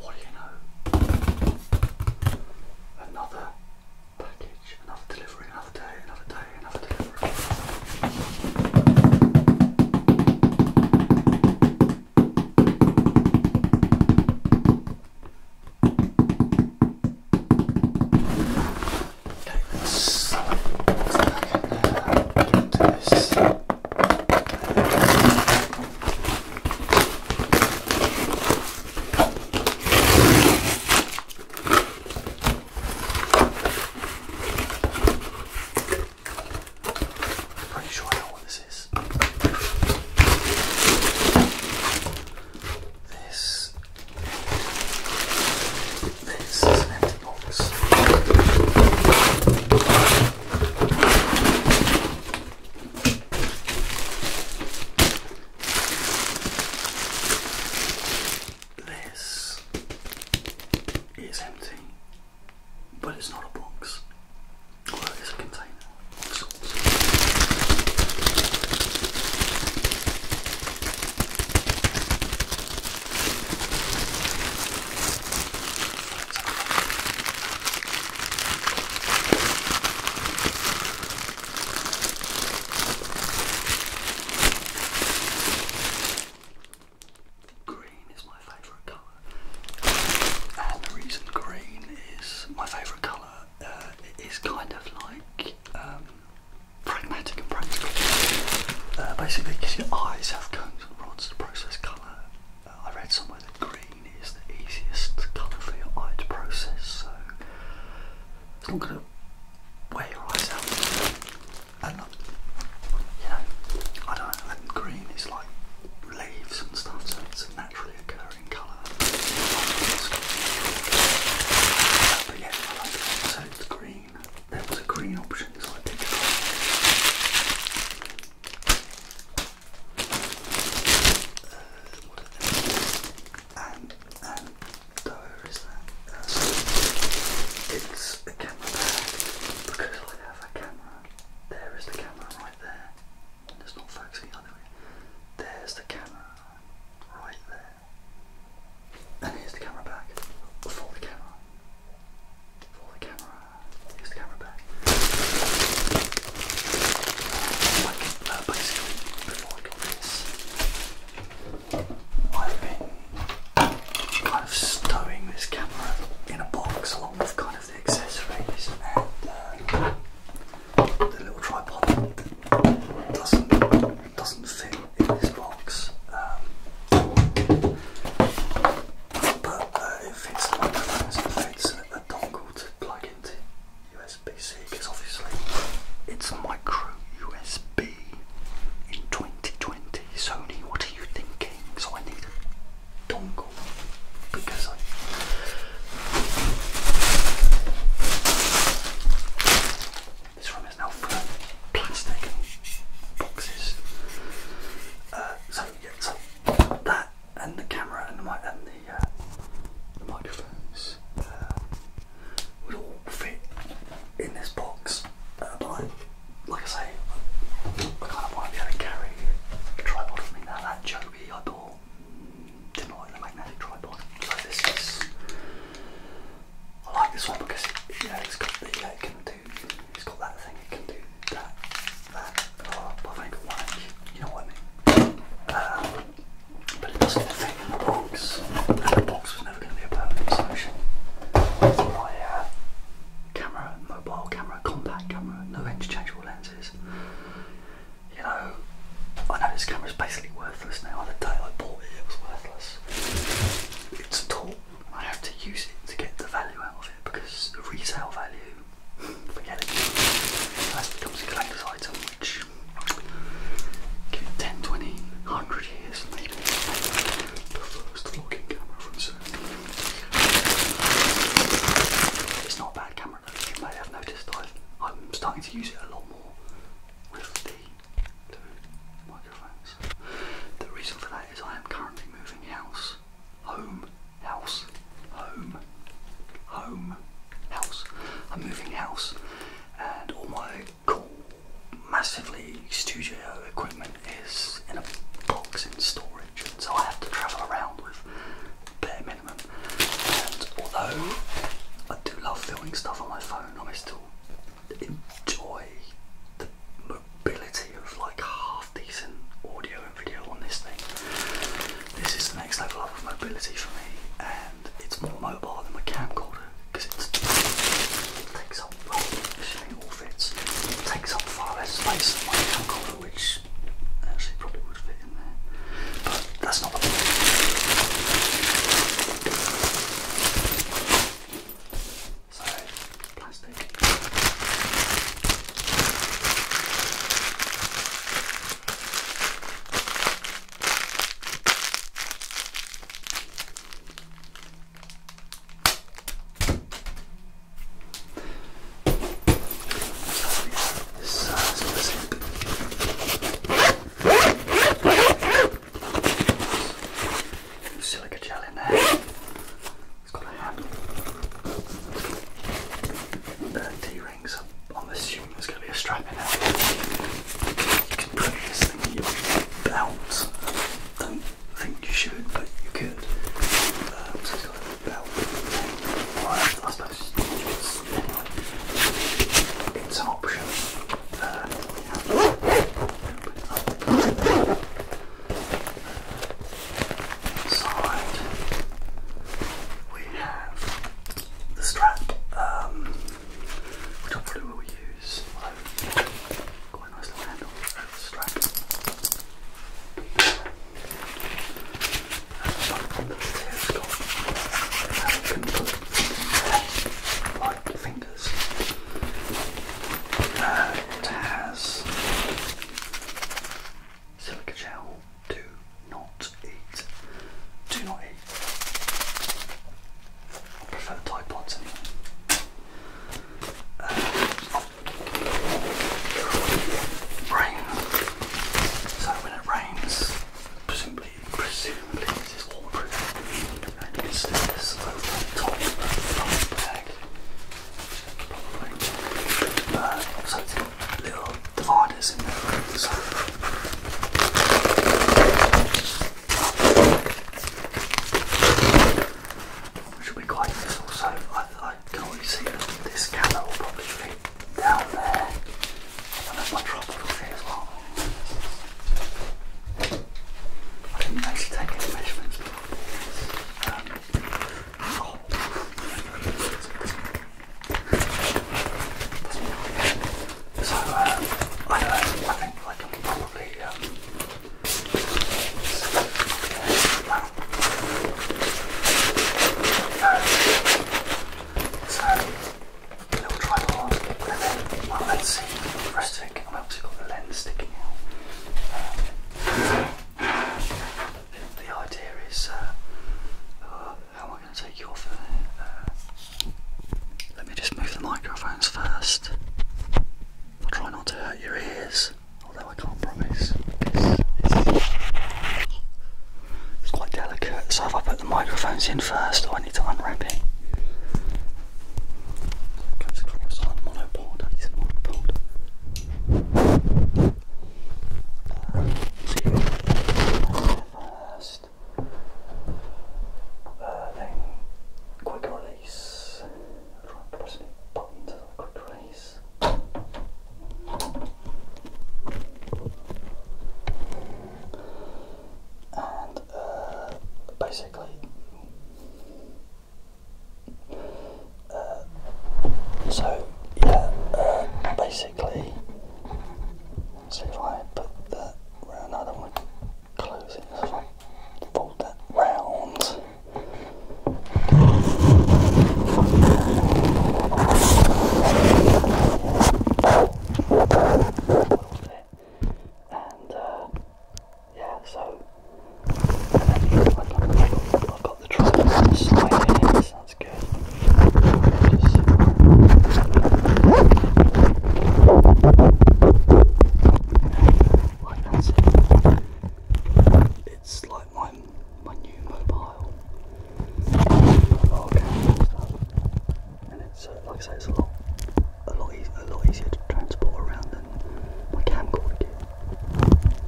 What do you know? Another package, another delivery, another day, another day, another delivery. let's, let this. Pretty sure I know what this is. This, this is an empty box. This is empty, but it's not a box. Well, it's a container Green is my favourite colour, and the reason green is my favourite colour uh, is kind of like um, pragmatic and practical. Uh, basically, because your eyes have cones and rods to process colour, I read somewhere that green is the easiest colour for your eye to process, so it's not going to wear your eyes out. And, uh, you know, I don't and green is like leaves and stuff, so it's a naturally occurring colour. But yeah, I like it. So it's green. There was a green option, so I picked it and, and there is it's a camera bag because I have a camera. There is the camera right there. And not focusing the way. There's the camera right there. And here's the camera bag for the camera. Pull the camera. Use the camera back. Uh, like, uh, before I got this, I've been kind of stowing this camera in a box along with kind of the accessories and uh, the little tripod doesn't doesn't fit in this box. Um, but it fits the microphone so it fits a dongle to plug into USB-C because obviously it's a micro USB in 2020. Sony, what are you thinking? So I need a dongle because I this room is now full of plastic and boxes. Uh, so yeah, so that and the camera and the mic and the, uh, microphones uh, would all fit in this box. like I say, I kind of want to be able to carry a tripod with me now. That Joby I bought didn't like the magnetic tripod, so this is. I like this one because it, you know, it's got the, yeah, it it's got that thing, it can do that, that, oh, but I think like, you know what I mean. Um, but it doesn't fit in the box, and the box was never going to be a permanent solution. That's why uh, camera, mobile camera, compact camera, no interchangeable lenses. You know, I know this camera is basically worthless now. On The day I bought it, it was worthless. It's a tool, I have to use it to get the value out of it because the resale value forget it. Unless becomes a collector's item, which give it 10, years, maybe the first vlogging camera from Sony. It's not a bad camera though, you may have noticed I've, I'm starting to use it a lot more with the microphones. The reason for that is I am currently moving house, home, house, home, home, house. I'm moving house, and all my cool, massively studio equipment is in a box in storage, and so I have to travel around with bare minimum. And although I do love filming stuff on my phone, I still enjoy the mobility of like half decent audio and video on this thing. This is the next level of mobility for me, and it's more mobile than my camcorder because it takes up, well, assuming it all fits, takes up far less space than my camcorder, which actually probably would fit in there. But that's not the point plastic. This uh, silver slip. Silica gel in there it got a handle. T-rings. I'm assuming there's going to be a strap in it. You can put this thing in your belt. Don't think you should, but you could. Um, it's got a belt. Right, I suppose it's, anyway, side we have the strap, um, which hopefully we will use. quite nice little handle the strap. And the has got can put there, fingers. Uh, it has silica gel. Do not eat. Do not eat. I prefer the Tide Pods anyway. Uh, rain. So when it rains, presumably, presumably this is waterproof. And you can stick this over the top of the bag probably. But little dividers in there. So. Which be quite useful. So I, I can already see this camera will probably fit down there. i And that's my tripod here as well. I didn't actually take any measurements before. So, I don't know, I think I can probably, so, little tripod, and then my lens seems to be resting, I'm able got the lens sticking out the, idea is uh, uh, how am I going to take you off of it? Uh, let me just move the microphones first. I'll try not to hurt your ears, although I can't promise. It's, quite delicate, so if I put the microphones in first, I need to unwrap it. It comes across like first. quick release. Try and press any buttons quick release. And basically um, so yeah, um, basically, see if I put that round. I don't want to close it. So I fold that round. And uh, yeah, so I've got the tripod that's good. It's like my, my new mobile. and, it's, uh, like I say, it's a lot, a lot, easier to transport around than my camcorder